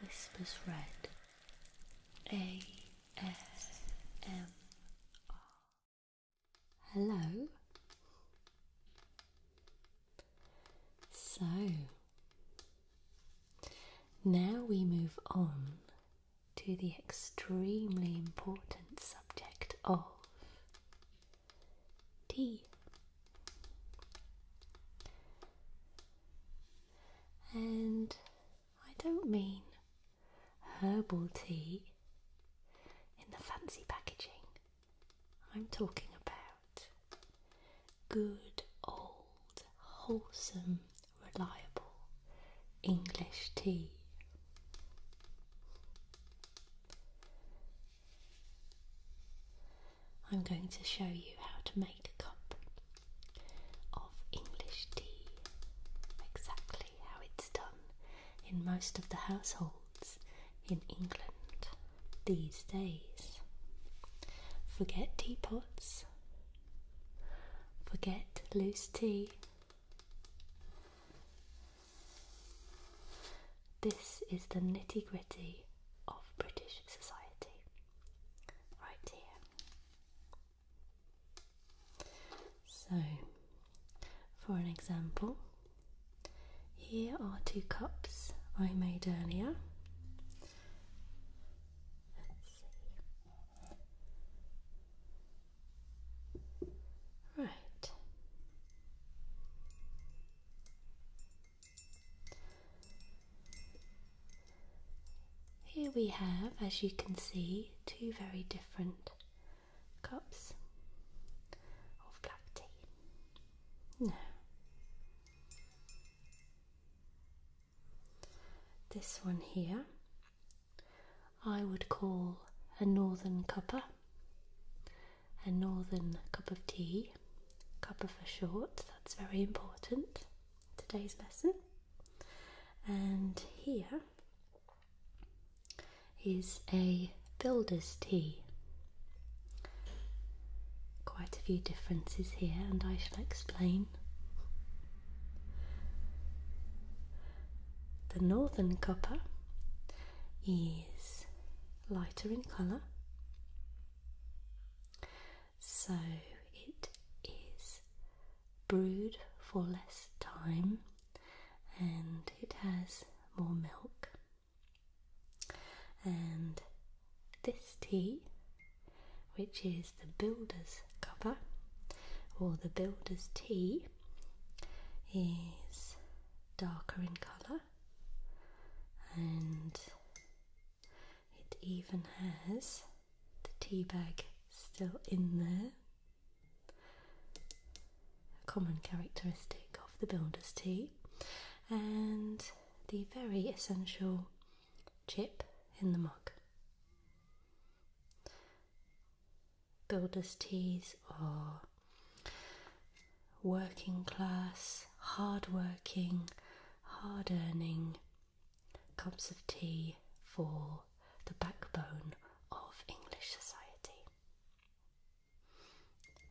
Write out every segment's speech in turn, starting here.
Whispers Red ASMR. Hello. So now we move on to the extremely important subject of tea. And I don't mean herbal tea in the fancy packaging. I'm talking about good old, wholesome, reliable English tea. I'm going to show you how to make a cup of English tea exactly how it's done in most of the households in England these days. Forget teapots, forget loose tea. This is the nitty gritty of British society, right here. So, for an example, here are two cups I made earlier. Right. Here we have, as you can see, two very different cups of black tea. Now, this one here I would call a northern cuppa a northern cup of tea, cuppa for short, that's very important, today's lesson. And here is a builder's tea. Quite a few differences here, and I shall explain. The northern cuppa is lighter in colour so it is brewed for less time and it has more milk. And this tea, which is the builder's cover or the builder's tea, is darker in colour and it even has the tea bag still in there. A common characteristic of the builder's tea, and the very essential chip in the mug. Builder's teas are working class, hard working, hard earning cups of tea for the backbone of English society.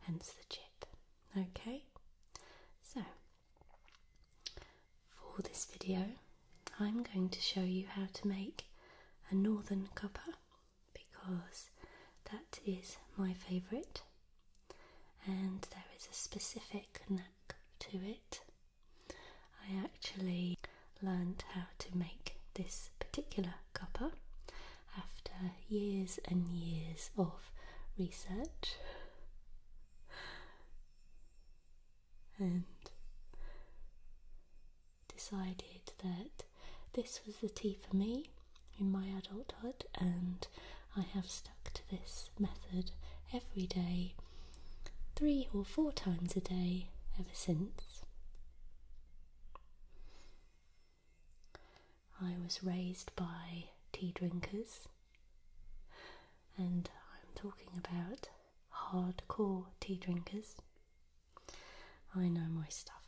Hence the chip. Okay, so for this video, I'm going to show you how to make a northern cuppa because that is my favourite and there is a specific knack to it. I actually learned how to make this particular copper after years and years of research and decided that this was the tea for me in my adulthood, and I have stuck to this method every day, three or four times a day ever since. I was raised by tea drinkers, and I'm talking about hardcore tea drinkers. I know my stuff.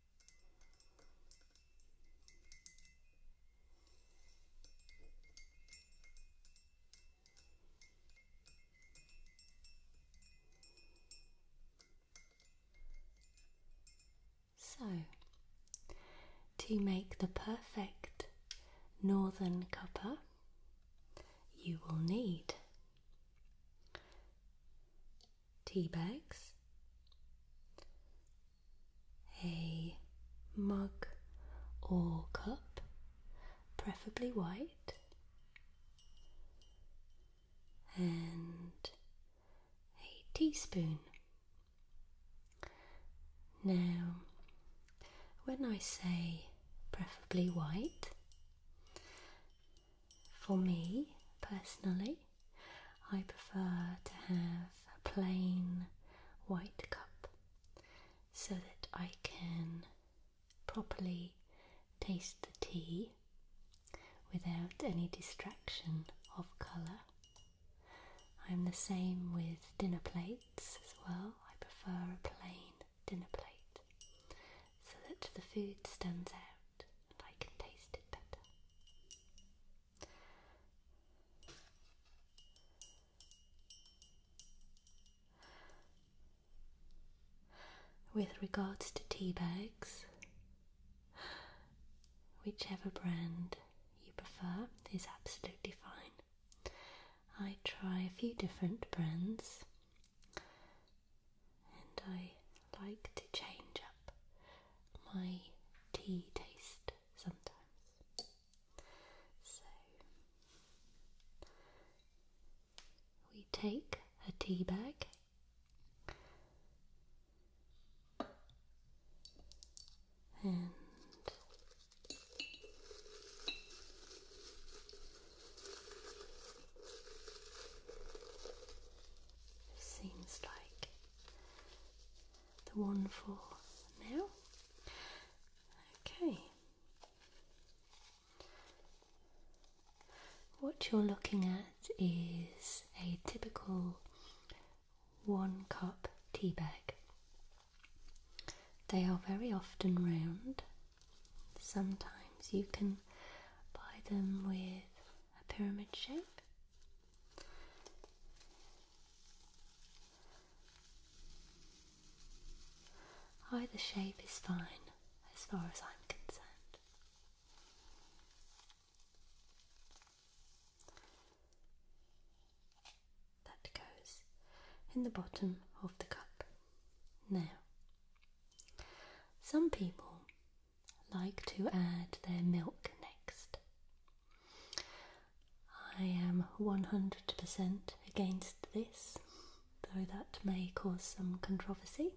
So, to make the perfect northern copper, you will need tea bags, a mug or cup, preferably white, and a teaspoon. Now, when I say preferably white, for me personally, I prefer to have a plain white cup so that I can properly taste the tea without any distraction of colour. I'm the same with dinner plates as well. I prefer a plain dinner plate so that the food stands out and I can taste it better. With regards to tea bags, whichever brand you prefer is absolutely fine. I try a few different brands and I like to change up my tea taste sometimes. So we take a tea bag. And Seems like the one for now. Okay. What you're looking at is a typical one cup tea bag. They are very often round Sometimes you can buy them with a pyramid shape. Either shape is fine as far as I'm concerned. That goes in the bottom of the cup. Now, some people like to add their milk next. I am 100% against this, though that may cause some controversy,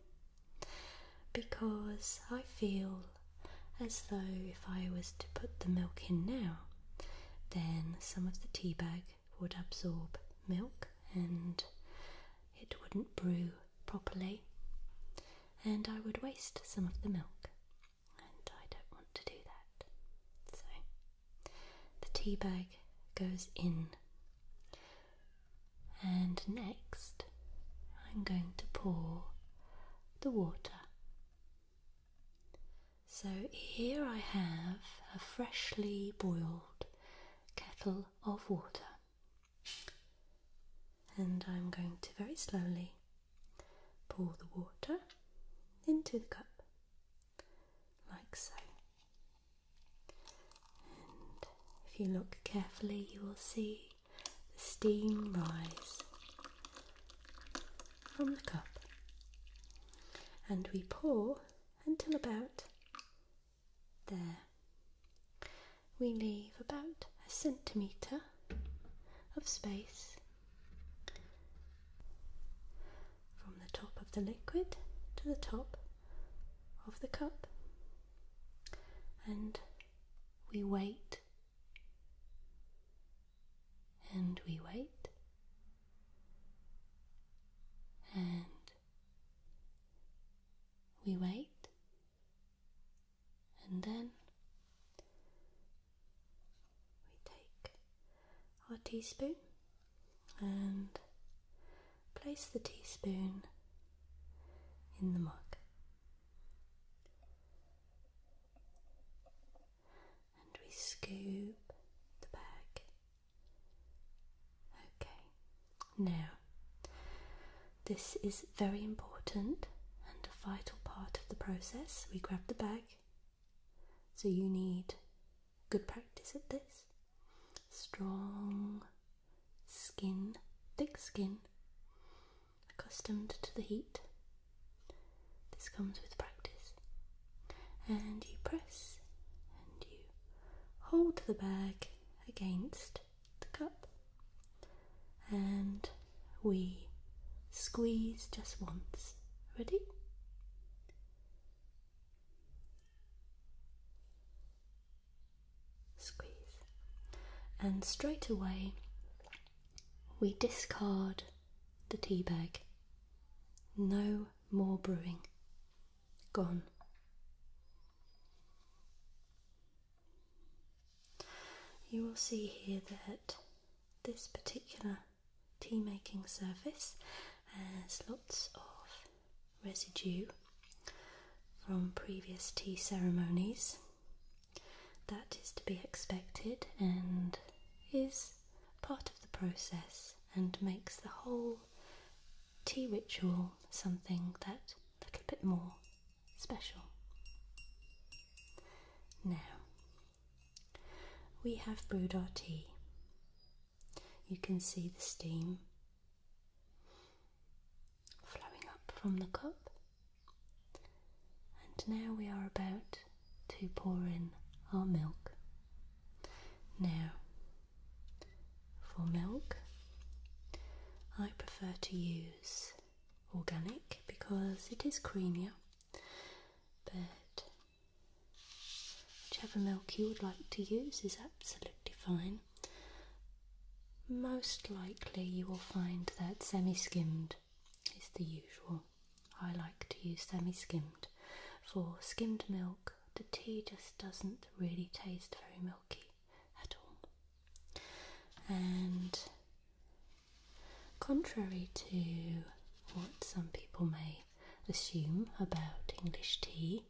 because I feel as though if I was to put the milk in now, then some of the tea bag would absorb milk and it wouldn't brew properly, and I would waste some of the milk, and I don't want to do that. So the tea bag goes in, and next I'm going to pour the water. So here I have a freshly boiled kettle of water. And I'm going to very slowly pour the water into the cup, like so. And if you look carefully, you will see the steam rise from the cup. And we pour until about there. We leave about a centimetre of space from the top of the liquid to the top of the cup and we wait and we wait and we wait, and then we take our teaspoon and place the teaspoon in the mug. And we scoop the bag Okay, now this is very important and a vital part of the process. We grab the bag, so you need good practice at this. Strong skin, thick skin, accustomed to the heat. This comes with practice and you press and you hold the bag against the cup and we squeeze just once. Ready? Squeeze. And straight away we discard the tea bag. No more brewing gone. You will see here that this particular tea making surface has lots of residue from previous tea ceremonies. That is to be expected and is part of the process and makes the whole tea ritual something that a little bit more special. Now, we have brewed our tea. You can see the steam flowing up from the cup. And now we are about to pour in our milk. Now, for milk, I prefer to use organic because it is creamier, but whichever milk you would like to use is absolutely fine. Most likely, you will find that semi skimmed is the usual. I like to use semi skimmed for skimmed milk. The tea just doesn't really taste very milky at all. And contrary to what some people may assume about English tea,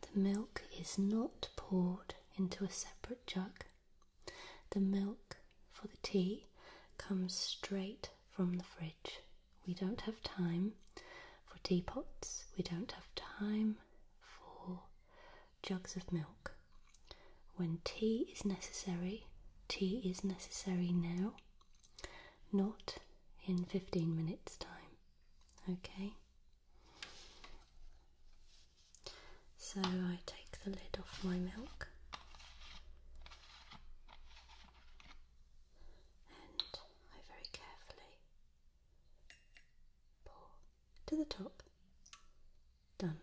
the milk is not poured into a separate jug. The milk for the tea comes straight from the fridge. We don't have time for teapots. We don't have time for jugs of milk. When tea is necessary, tea is necessary now, not in 15 minutes' time. Okay? So I take the lid off my milk and I very carefully pour to the top. Done.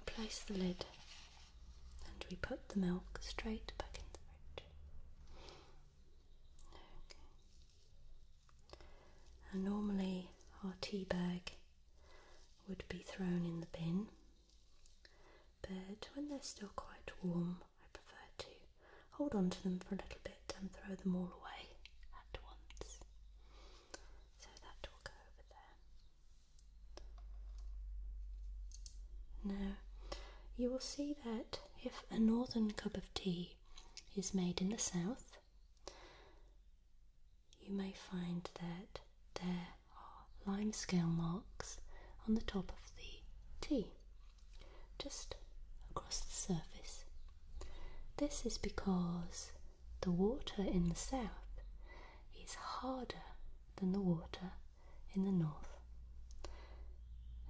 Replace the lid and we put the milk straight back in the fridge. Okay. And normally our tea bag would be thrown in the bin, but when they're still quite warm, I prefer to hold on to them for a little bit and throw them all away at once. So that will go over there. Now, you will see that if a northern cup of tea is made in the south, you may find that there are lime scale marks on the top of the tea, just across the surface. This is because the water in the south is harder than the water in the north,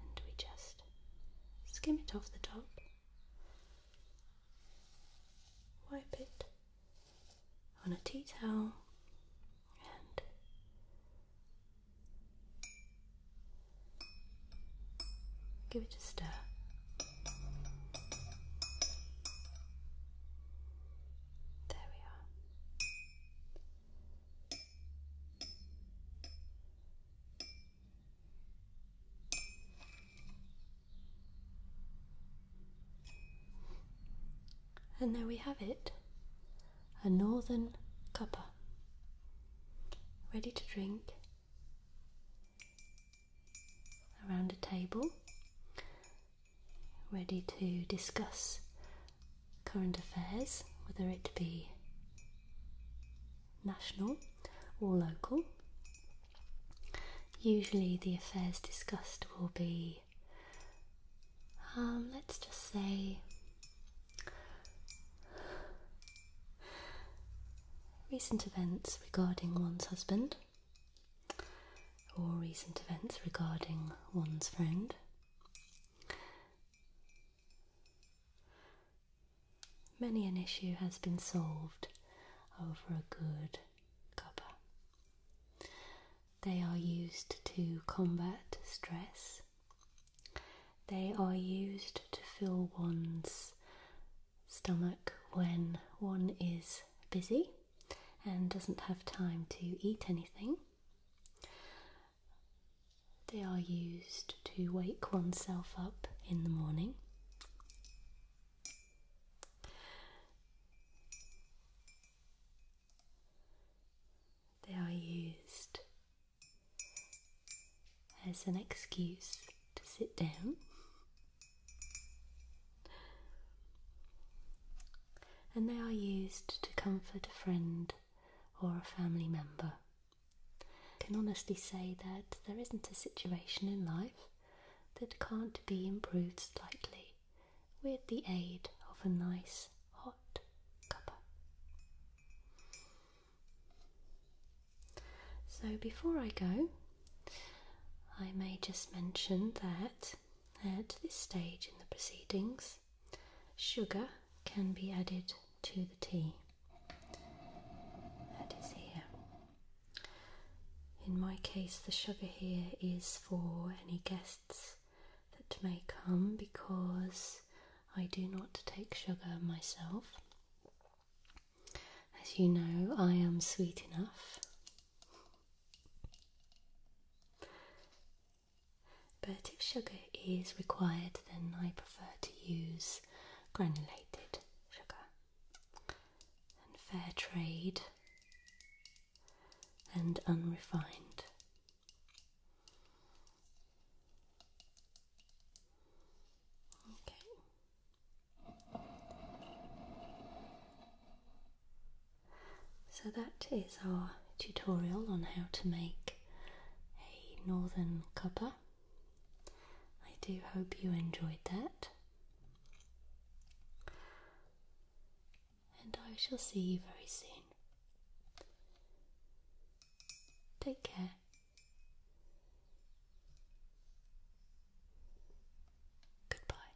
and we just skim it off the top, wipe it on a tea towel, and give it a stir. There we are. And there we have it a northern cuppa ready to drink around a table, ready to discuss current affairs, whether it be national or local. Usually, the affairs discussed will be, um, let's just say, recent events regarding one's husband or recent events regarding one's friend. Many an issue has been solved over a good cuppa. They are used to combat stress. They are used to fill one's stomach when one is busy and doesn't have time to eat anything. They are used to wake oneself up in the morning. They are used as an excuse to sit down. And they are used to comfort a friend or a family member. I can honestly say that there isn't a situation in life that can't be improved slightly with the aid of a nice hot cuppa. So, before I go, I may just mention that at this stage in the proceedings, Sugar can be added to the tea. That is here. In my case, the sugar here is for any guests that may come because I do not take sugar myself. As you know, I am sweet enough. But if sugar is required, then I prefer to use granulated sugar and fair trade and unrefined. Okay. So that is our tutorial on how to make like a northern copper. I do hope you enjoyed that. And I shall see you very soon. Take care. Goodbye.